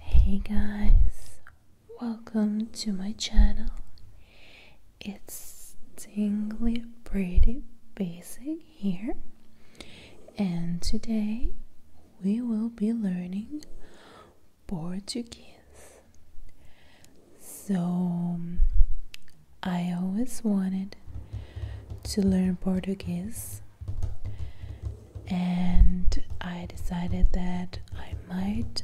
Hey guys, welcome to my channel. It's Tingly Pretty Basic here, and today we will be learning Portuguese. So, I always wanted to learn Portuguese, and I decided that I might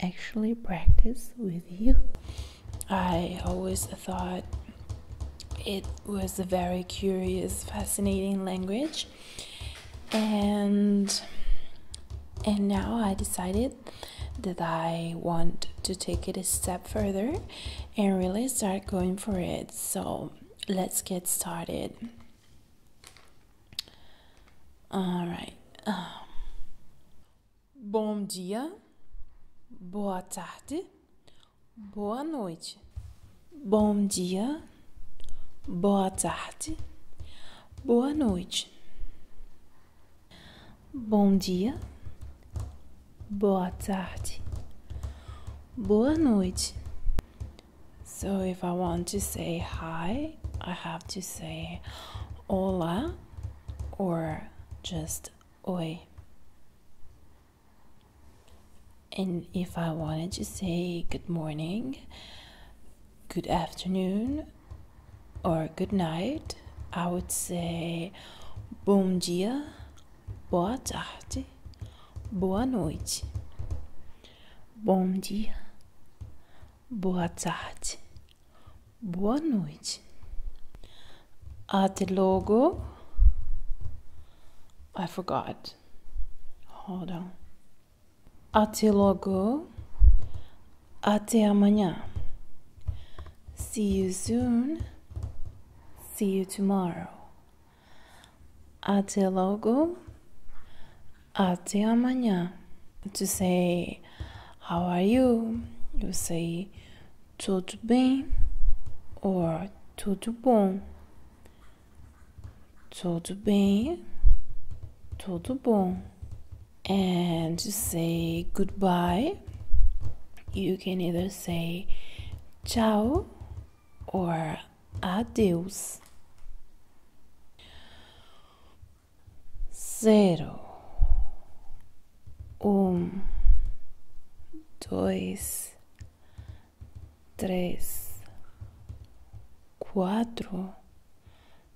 actually practice with you. I always thought it was a very curious, fascinating language, and and now I decided that I want to take it a step further and really start going for it. So let's get started. All bom dia, boa tarde, boa noite. Bom dia, boa tarde, boa noite. Bom dia, boa tarde, boa noite. So if I want to say hi, I have to say hola or just oi. And if I wanted to say good morning, good afternoon, or good night, I would say bom dia boa tarde, boa noite, bom dia, boa tarde, boa noite. Até logo. I forgot. Hold on. Até logo. Até amanhã. See you soon. See you tomorrow. Até logo. Até amanhã. To say, How are you? You say, Tudo bem or Tudo bom. Tudo bem. Tudo bom. And to say goodbye you can either say tchau or adeus. Zero, um, dois, três, quatro,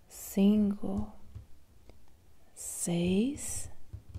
cinco, seis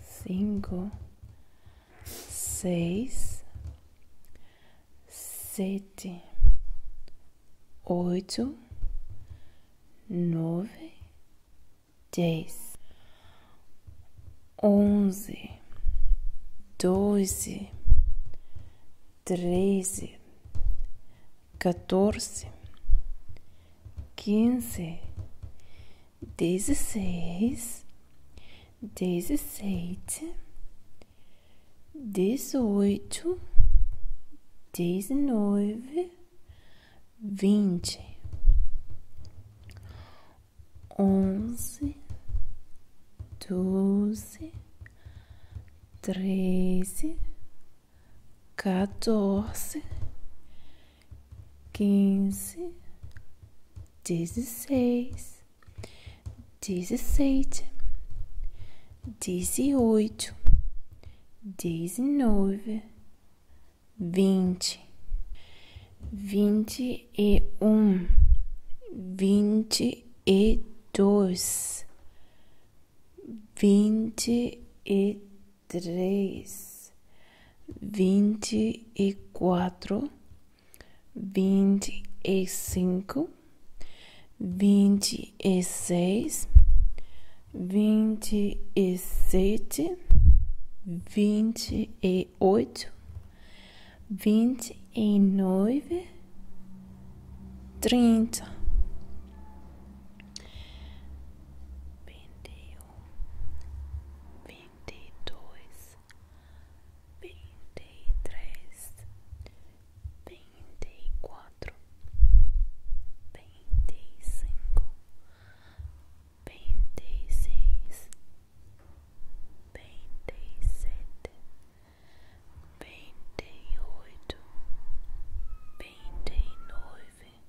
cinco, seis, sete, oito, nove, dez, onze, doze, treze, quatorze, quinze dezesseis, dezessete, dezoito, dezenove, vinte, onze, doze, treze, quatorze quinze, dezesseis, dezessete, dezoito, dezenove, vinte, vinte e um, vinte e dois, vinte e três, vinte e quatro, vinte e cinco, vinte e seis, vinte e sete, vinte e oito, vinte e nove, trinta vinte e dois, vinte e três, vinte e quatro, vinte e cinco, vinte e seis, vinte e sete, vinte e oito, vinte e nove.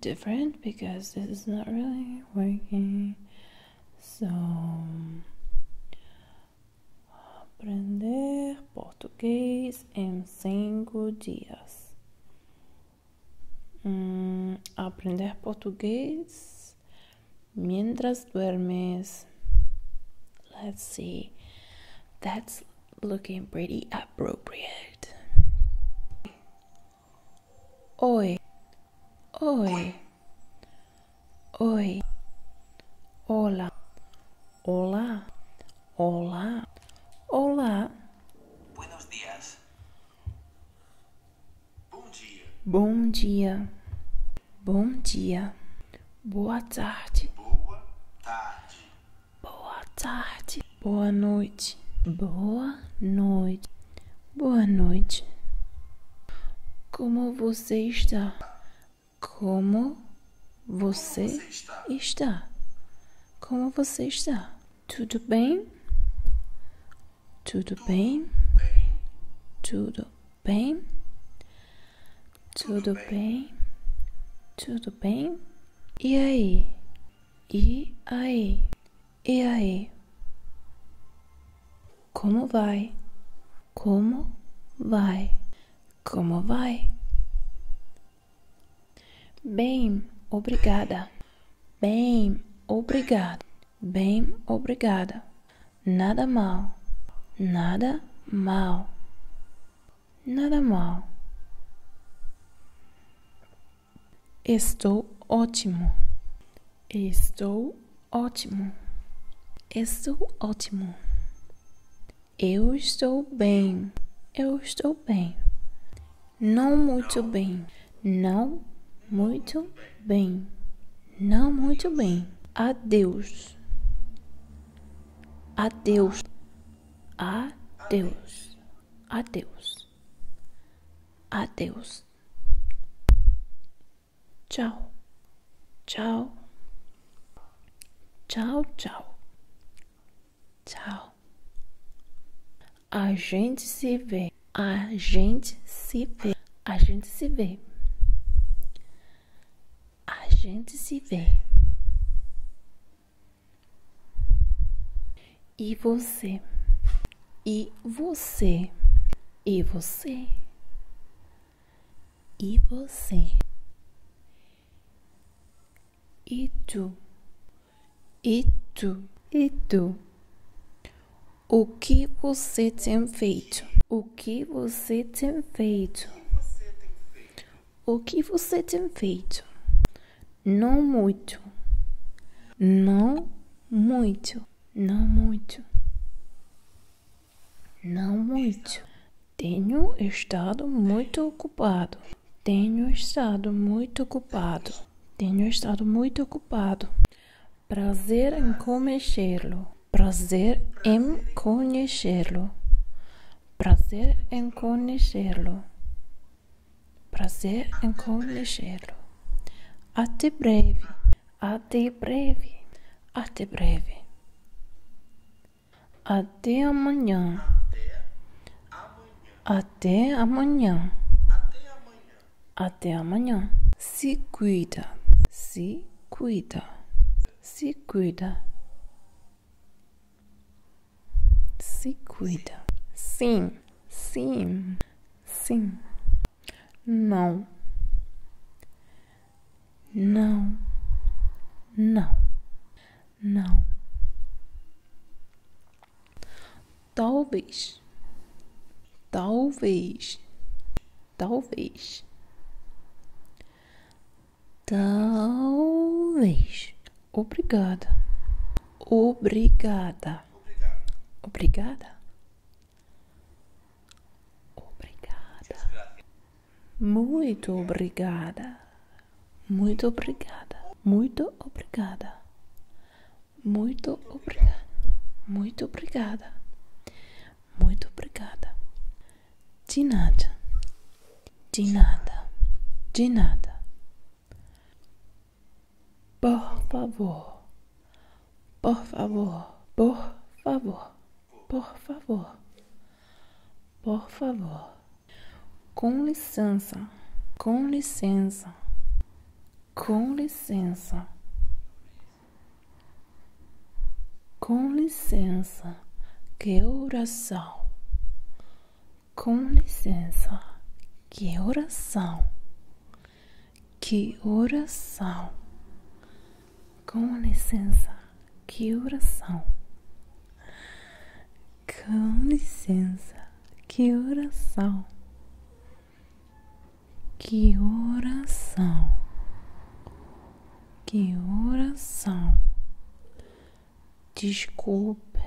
different because this is not really working. So, aprender português en cinco dias. Mm, aprender português mientras duermes. Let's see. That's looking pretty appropriate. Oi, oi, oi, olá, olá, olá, olá. Buenos dias. Bom dia. Bom dia. Bom dia. Boa tarde. Boa tarde. Boa tarde. Boa noite. Boa noite. Boa noite. Como você está? Como você, está? Como você está? Tudo bem? Tudo bem? Tudo bem? Tudo bem? Tudo bem? E aí? E aí? E aí? Como vai? Como vai? Como vai? Bem, obrigada. Bem, obrigada. Bem, obrigada. Nada mal. Nada mal. Nada mal. Estou ótimo. Estou ótimo. Estou ótimo. Eu estou bem. Eu estou bem. Não muito bem. Não muito bem. Não muito bem. Adeus. Adeus. Adeus. Adeus. Adeus. Tchau. Tchau. Tchau, tchau. Tchau. A gente se vê. A gente se vê. A gente se vê. A gente se vê. E você? E você? E você? E você? E tu? E tu? E tu? O que você tem feito? O que você tem feito? O que você tem feito? Não muito. Não muito. Não muito. Não muito. Tenho estado muito ocupado. Tenho estado muito ocupado. Tenho estado muito ocupado. Prazer em conhecê-lo. Prazer em conhecê-lo. Prazer em conhecê-lo. Prazer em conhecê-lo. Até breve. Até breve. Até breve. Até amanhã. Até amanhã. Até amanhã. Se cuida. Se cuida. Se cuida. Se cuida. Sim, sim, sim. Não. Não. Não. Não. Talvez. Talvez. Talvez. Talvez. Obrigada. Obrigada. Obrigada. Obrigada. Muito obrigada. Muito obrigada. Muito obrigada. Muito obrigada. Muito obrigada. Muito obrigada. De nada. De nada. De nada. Por favor, por favor, por favor, por favor, por favor. Com licença, com licença, com licença, com licença. Que oração, com licença, que oração, que oração. Com licença, que oração. Com licença, que oração. Que oração. Que oração. Desculpe.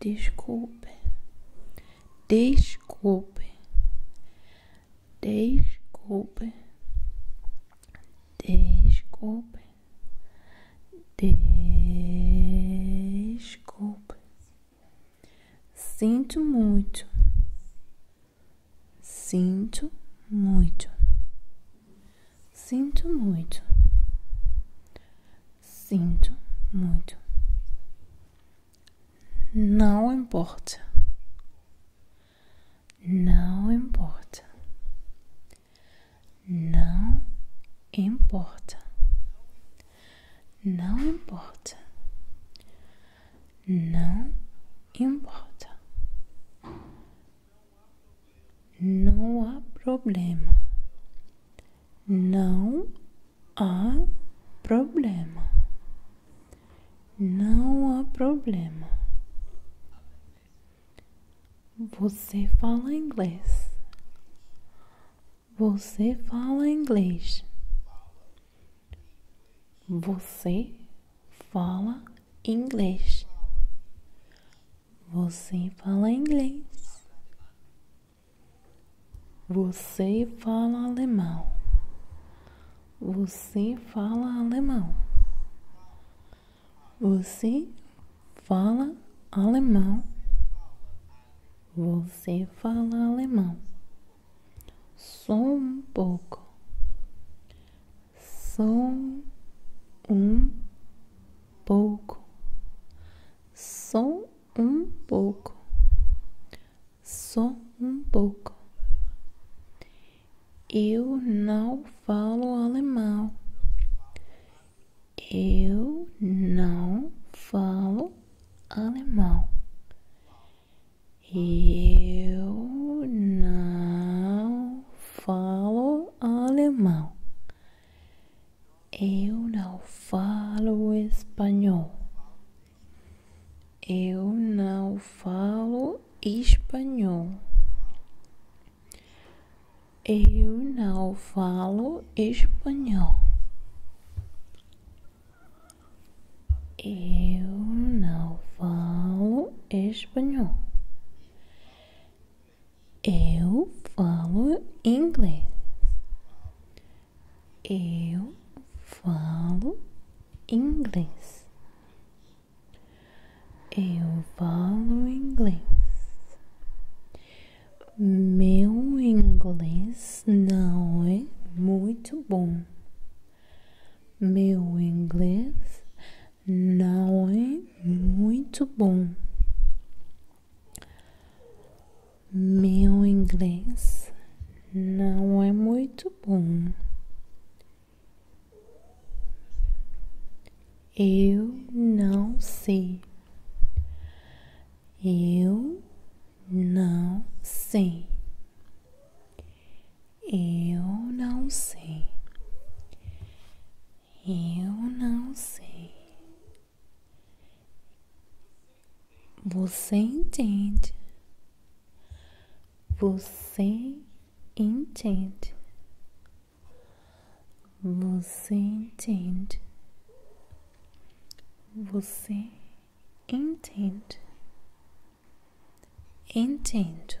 Desculpe. Desculpe. Desculpe. Desculpe. Desculpe. Sinto muito. Sinto muito. Sinto muito. Sinto muito. Não importa. Não importa. Não importa. Não importa. Não importa. Não há problema. Não há problema. Não há problema. Você fala inglês. Você fala inglês. Você fala inglês. Você fala inglês. Você fala alemão. Você fala alemão. Você fala alemão. Você fala alemão. Só um pouco. Só um pouco, só um pouco, só um pouco. Eu não falo alemão. Eu não falo alemão. Eu não falo alemão. Eu não falo espanhol. Eu não falo espanhol. Eu não falo espanhol. Eu não falo espanhol. Eu falo inglês. Eu falo inglês. Eu falo inglês. Meu inglês não é muito bom. Meu inglês não é muito bom. Meu inglês não é muito bom. Eu não sei. Eu não sei. Eu não sei. Eu não sei. Você entende. Você entende. Você entende. Você entende. Entendo.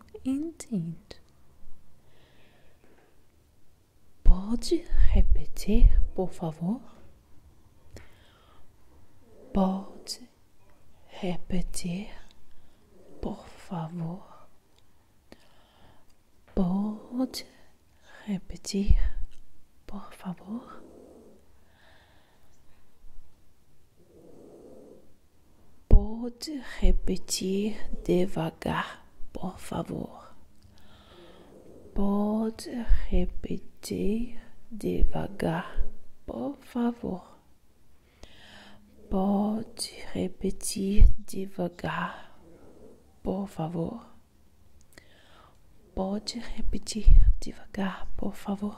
entendo. Pode repetir, por favor? Pode repetir, por favor? Pode repetir, por favor? Pode repetir devagar, pour favor. Pode repetir devagar, por favor. Pode repetir devagar, por favor. Pode repetir devagar, por favor.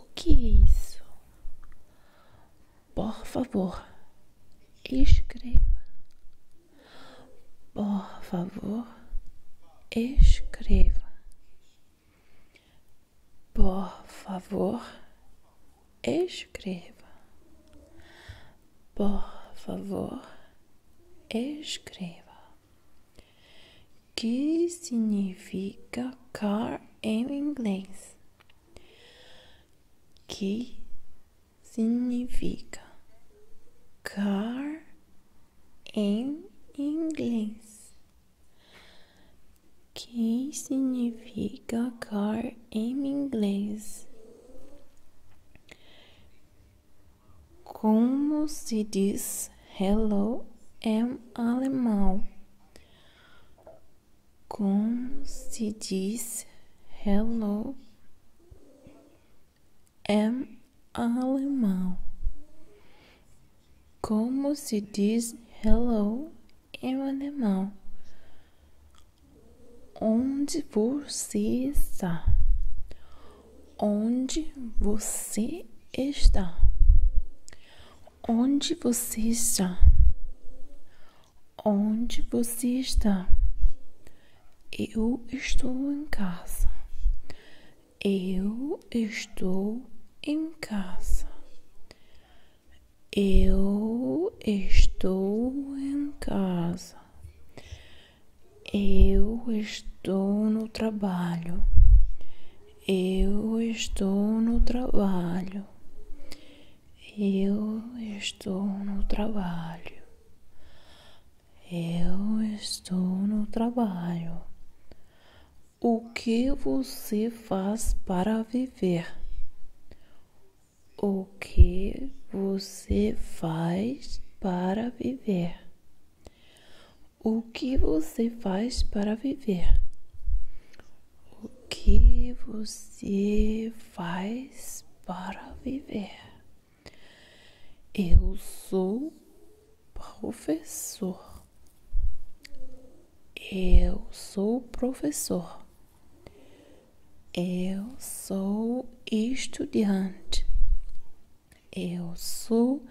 O que é isso? Por favor, escreva. Por favor, escreva. Por favor, escreva. Por favor, escreva que significa car em inglês? Que significa car em inglês? Que significa car em inglês? Como se diz hello em alemão? Como se diz hello em alemão? Como se diz hello em alemão? Onde você está? onde você está. Onde você está? Onde você está? Eu estou em casa. Eu estou em casa. Eu estou em casa. Eu estou no trabalho. Eu estou no trabalho. Eu estou no trabalho. Eu estou no trabalho. O que você faz para viver? O que você faz para viver? O que você faz para viver? O que você faz para viver? Eu sou professor. Eu sou professor. Eu sou estudante. Eu sou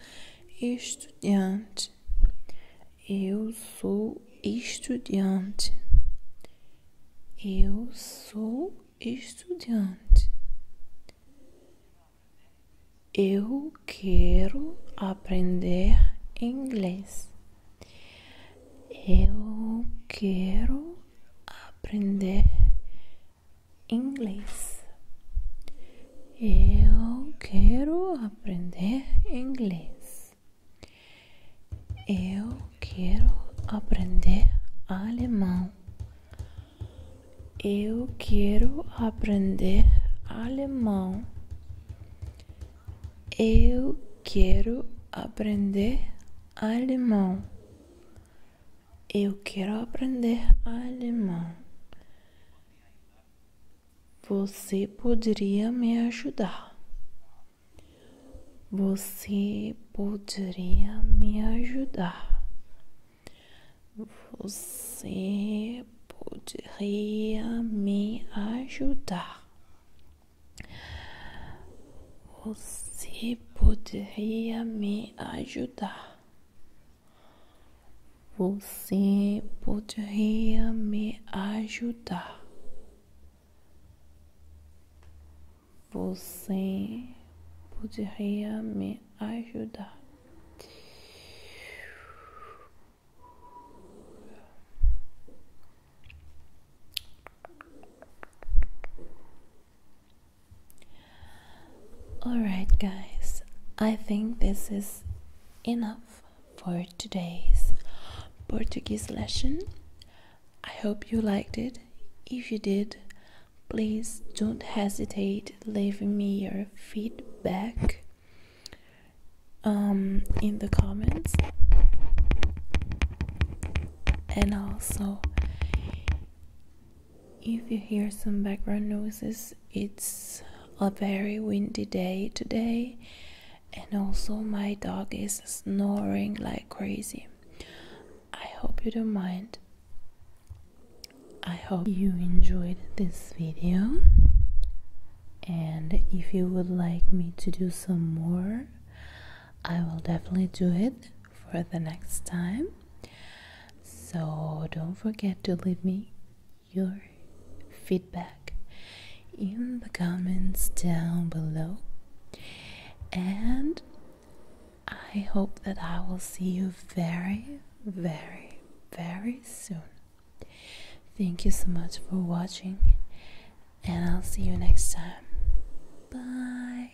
estudante. Eu sou estudante. Eu sou estudante. Eu quero aprender inglês. Eu quero aprender inglês. Eu quero aprender inglês. Eu quero aprender alemão. Eu quero aprender alemão. Eu quero aprender alemão. Eu quero aprender alemão. Você poderia me ajudar? Você poderia me ajudar? Você poderia me ajudar? Você poderia me ajudar? Você poderia me ajudar? Você poderia me ajudar? Alright, guys, I think this is enough for today's Portuguese lesson. I hope you liked it. If you did, please don't hesitate leaving me your feedback um, in the comments. And also, if you hear some background noises, it's a very windy day today, and also my dog is snoring like crazy. I hope you don't mind. I hope you enjoyed this video. And if you would like me to do some more, I will definitely do it for the next time. So don't forget to leave me your feedback in the comments down below. And I hope that I will see you very, very, very soon. Thank you so much for watching, and I'll see you next time. Bye.